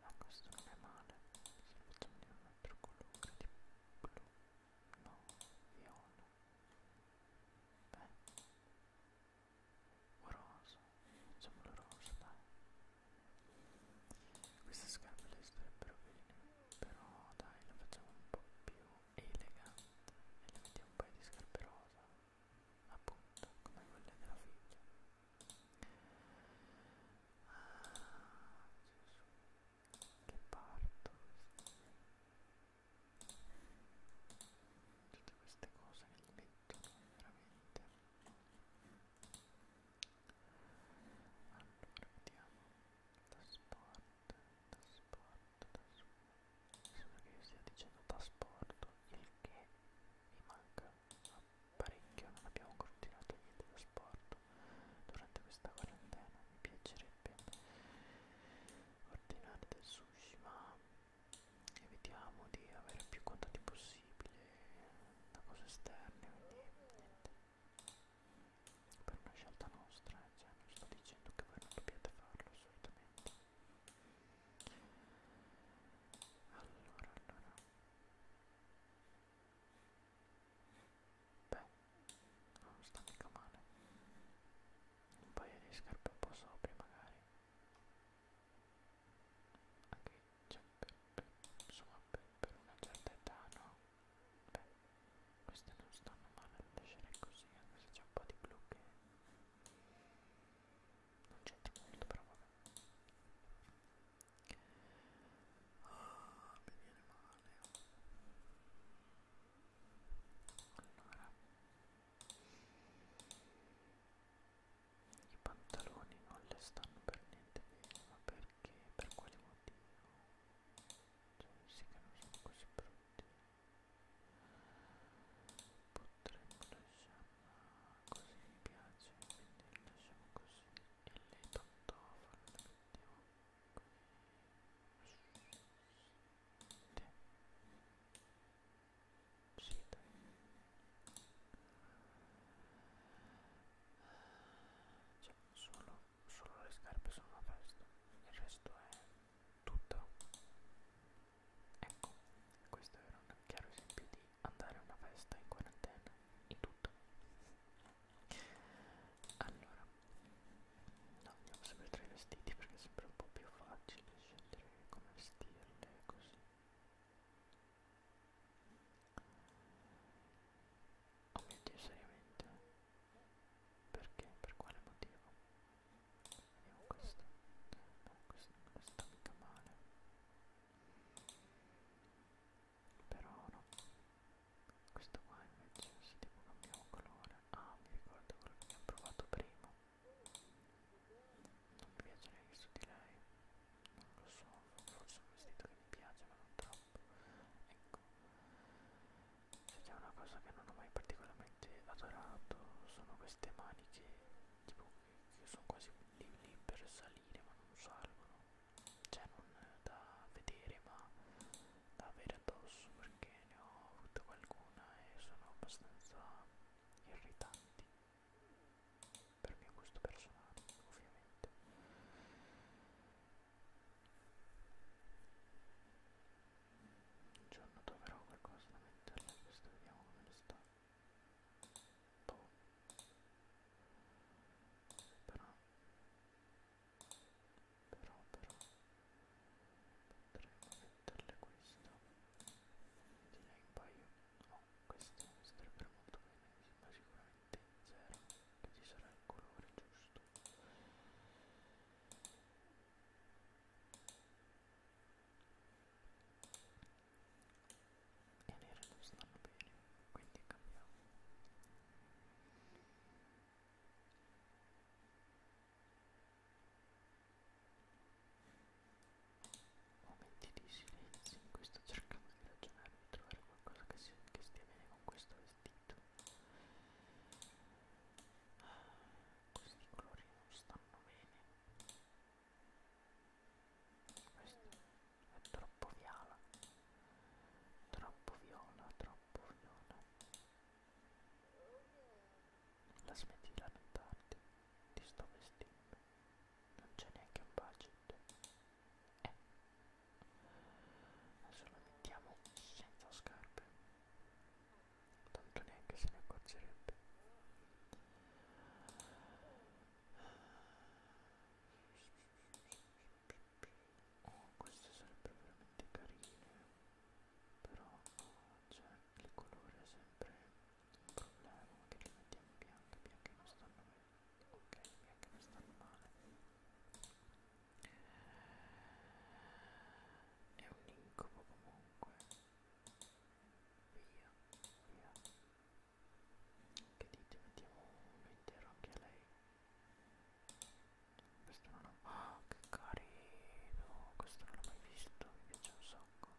Ma questo non è male. Se lo facciamo di un altro colore di blu. No, viola. Beh. O rosa. Facciamolo rosa, dai. Queste scarpe le starebbero bene. Però dai, le facciamo un po' più elegante. E le mettiamo un paio di scarpe rosa. Appunto, come quelle della figlia che parto tutte queste cose che gli mettono veramente allora vediamo da sport da sport da sport sembra che io stia dicendo da sport il che mi manca parecchio non abbiamo continuato niente da sport durante questa quarantena mi piacerebbe ordinare del sushi ma evitiamo di avere più contatti possibile da cose esterne quindi niente per una scelta nostra eh, cioè non sto dicendo che voi non dobbiate farlo assolutamente allora allora Beh, non sta mica male. Un paio di scarpe un po' sopra magari. Anche cioè, per, per, insomma per, per una certa età no. Beh, queste non stanno male da lasciare così, anche se c'è un po' di blu che non c'entra molto però vabbè ah mi viene male allora i pantaloni non le stanno per niente bene ma perché per quale motivo cioè sì che non sono così brutti potremmo lasciarli così mi piace quindi lo lasciamo così e le pantofole le mettiamo così sì dai cioè, solo, solo le scarpe sono a posto il resto è tutto Ecco, questo era un chiaro esempio di andare a una festa in quarantena, in tutto. Allora, no, andiamo sempre tra i vestiti perché è sempre un po' più facile scegliere come vestirle così. Oh mio dio, seriamente? Perché? Per quale motivo? Vediamo questo. No, questo non sta mica male. Però no. Questo qua invece se tipo cambiamo colore. Ah, mi ricordo quello che abbiamo provato prima. Non mi piace neanche su di lei. Non lo so, forse un vestito che mi piace ma non troppo. Ecco. Se c'è una cosa che non ho mai particolarmente adorato sono queste maniche tipo io sono quasi lì, lì per salire ma non salgono cioè non da vedere ma da avere addosso perché ne ho avuto qualcuna e sono abbastanza irritanti per mio gusto personale ovviamente un cioè, giorno troverò qualcosa da metterla, questo vediamo come sta. Boh. Però... Però, però... Potremmo metterle questo. Direi un paio. Oh, questo mi starebbe molto bene, ma sicuramente zero, che ci sarà il colore giusto e nere non stanno bene quindi cambiamo momenti di silenzio in cui sto cercando di ragionare di trovare qualcosa che, si, che stia bene con questo vestito ah questi colori non stanno bene questo è troppo viola troppo viola troppo viola la smetti di lamentarti ti sto vestendo non c'è neanche un budget eh adesso lo mettiamo senza scarpe tanto neanche se ne accorgerebbe oh queste sarebbero veramente carine però cioè il colore è sempre un problema che li mettiamo bianchi bianchi non stanno bene ok bianchi non stanno male è un incubo comunque via via che dite mettiamo un intero anche a lei questo non ho oh, che carino questo non l'ho mai visto mi piace un sacco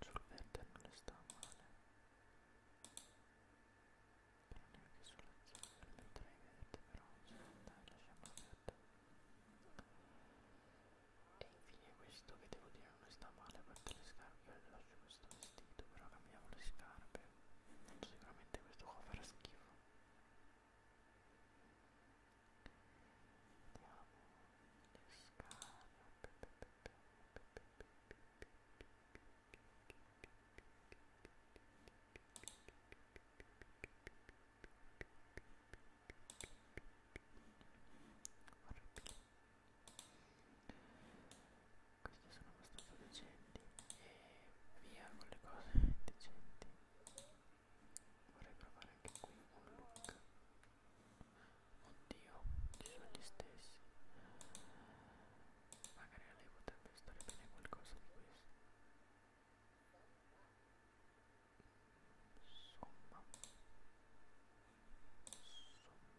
sul verde non le sta male però neanche sulla zona metterei verde però dai lasciamo verde e infine questo che devo dire non sta male perché le scarpe io lascio questo vestito però cambiamo le scarpe sicuramente questo qua farà schifo vediamo le scarpe queste sono abbastanza decenti e via con le cose decenti. Vorrei provare anche qui un look. Oddio, ci sono gli stessi magari a lei potrebbe stare bene qualcosa di questo insomma insomma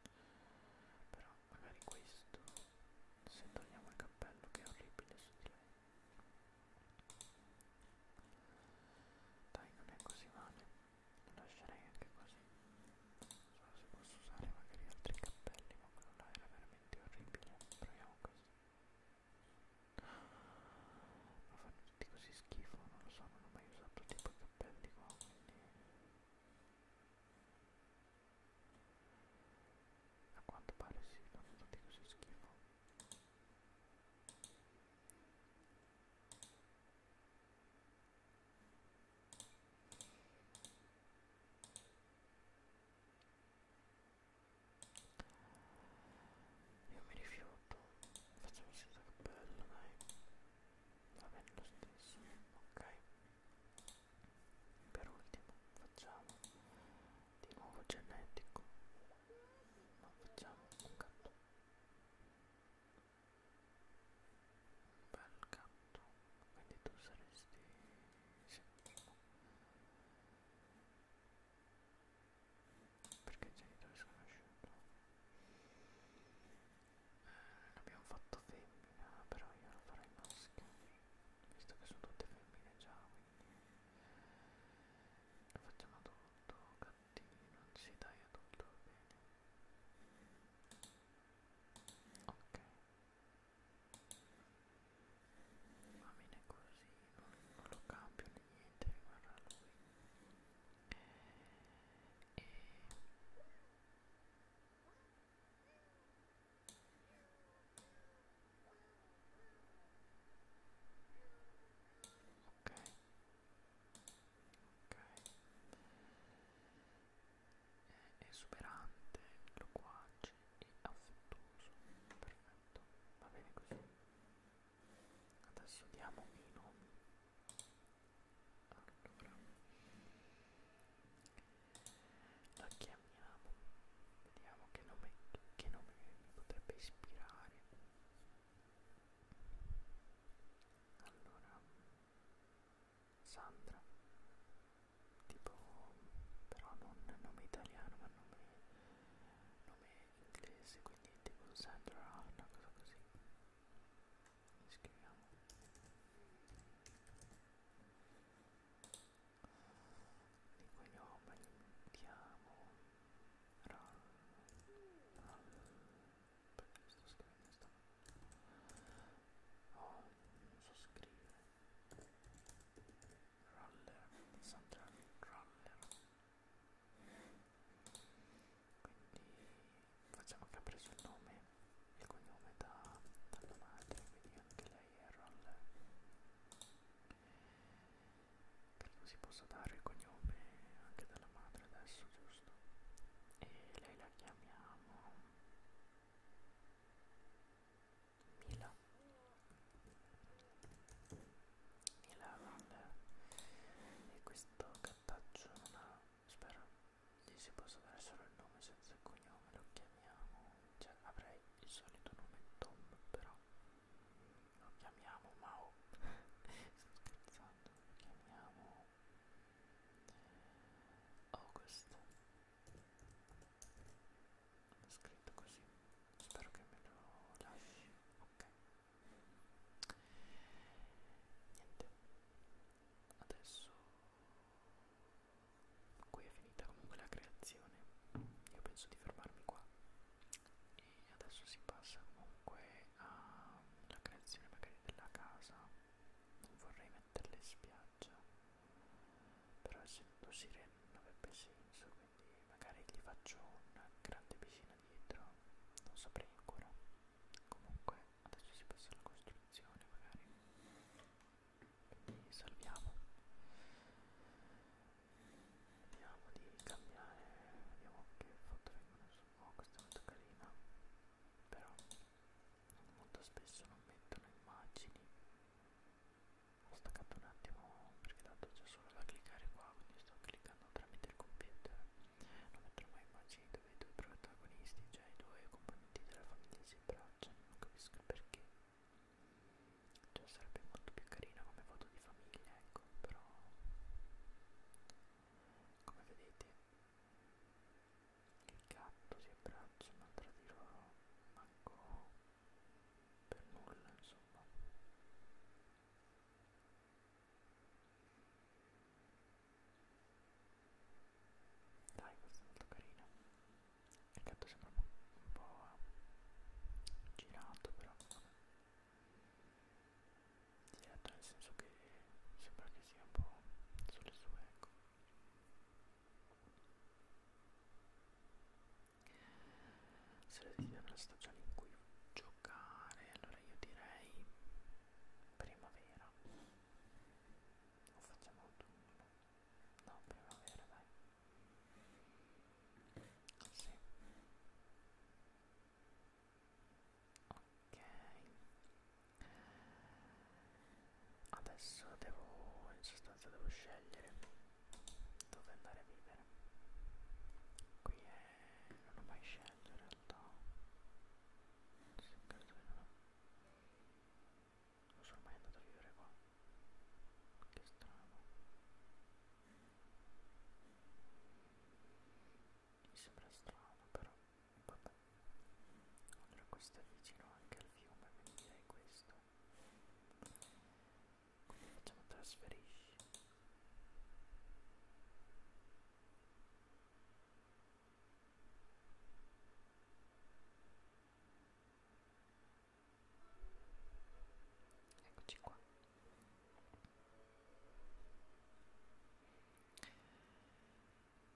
insomma però magari questo se togliamo il cappello che è orribile su di lei dai non è così male lo lascerei anche così so se posso usare magari altri cappelli ma quello là era veramente orribile proviamo questo ma fanno tutti così schifo non lo so non ho mai usato tipo i cappelli qua quindi a quanto pare si sì, fanno tutti così schifo io mi rifiuto, facciamo senza cappello, dai. Va bene lo stesso, ok. Per ultimo facciamo di nuovo genetico, ma facciamo un gatto un bel gatto quindi tu saresti sì. perché genitore sconosciuto eh, l'abbiamo fatto femmina però io lo farei maschio visto che sono tutte femmine già quindi lo facciamo adulto gattino si dai adulto va bene ok va bene così non, non lo cambio né niente guarda lui e ok ok è esuberante, loquace e affettuoso perfetto, va bene così adesso diamo i nomi allora la chiamiamo vediamo che nome, che nome mi potrebbe ispirare allora Sandra tipo però non nome italiano ma nome, nome inglese quindi tipo Sandra una cosa così scriviamo di cui nome chiamo Ral, Ral perché sto scrivendo sta oh, non so scrivere roller central roller quindi facciamo che ha preso il nome il cognome da, dalla madre quindi anche lei è roller credo si possa dare il cognome anche della madre adesso, giusto? E lei la chiamiamo Mila. Mila Vander. E questo gattaccio non ha, spero gli si possa dare solo il nome senza il cognome, lo chiamiamo, cioè avrei il solito nome Tom però lo chiamiamo Mao sto scherzando lo chiamiamo August l'ho scritto così spero che me lo lasci ok niente adesso qui è finita comunque la creazione io penso di fermarmi qua e adesso si passa comunque alla creazione magari della casa non vorrei metterle in spiaggia però essendo sirene non avrebbe senso quindi magari gli faccio una grande piscina dietro non saprei ancora comunque adesso si passa alla costruzione magari quindi salviamo vediamo di cambiare vediamo che foto vengono su oh, questa è molto carina però molto spesso non mettono immagini ho staccato un attimo perché tanto c'è solo da cliccare qua quindi sto cliccando tramite il computer non mettono mai immagini dove i due protagonisti cioè i due componenti della famiglia si abbracciano non capisco il perché cioè sarebbe molto più carina come foto di famiglia ecco però come vedete il gatto si abbracciano tra di loro manco per nulla insomma dai questa è molto carina il gatto sembra un po' girato però vabbè diretto nel senso che sembra che sia un po' sulle sue ecco se le devi una stagione in cui giocare allora io direi primavera o facciamo autunno no primavera dai Così. Ok. Adesso devo, in sostanza devo scegliere dove andare a vivere. Qui è... non ho mai scelto in realtà. Non so, credo di no. Non sono mai andato a vivere qua. Che strano. Mi sembra strano però, vabbè. Allora questo è vicino anche al fiume, quindi direi questo. Come facciamo a trasferirci? Eccoci qua.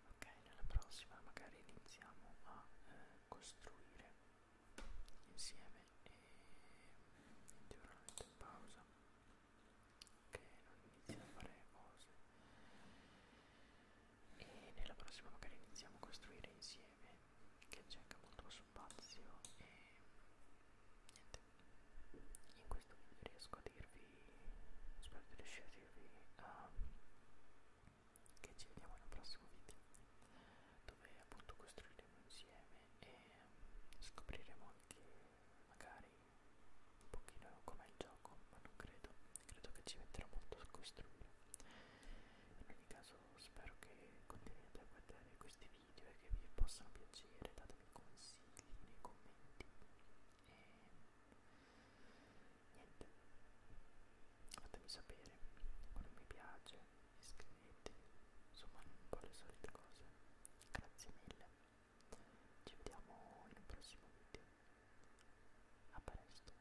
Ok, nella prossima magari iniziamo a eh, costruire insieme e niente ora la metto in pausa che non inizio a fare cose e nella prossima magari iniziamo a costruire insieme insieme che cerca molto lo spazio e niente in questo video riesco a dirvi spero di riuscire a dirvi um, che ci vediamo nel prossimo video dove appunto costruiremo insieme e scopriremo anche magari un pochino com'è il gioco ma non credo credo che ci metterà molto a costruire in ogni caso spero che continuiate a guardare questi video e che vi possano piacere, datemi consigli nei commenti e niente, fatemi sapere quando mi piace, iscrivetevi, insomma un po' le solite cose, grazie mille, ci vediamo in un prossimo video, a presto!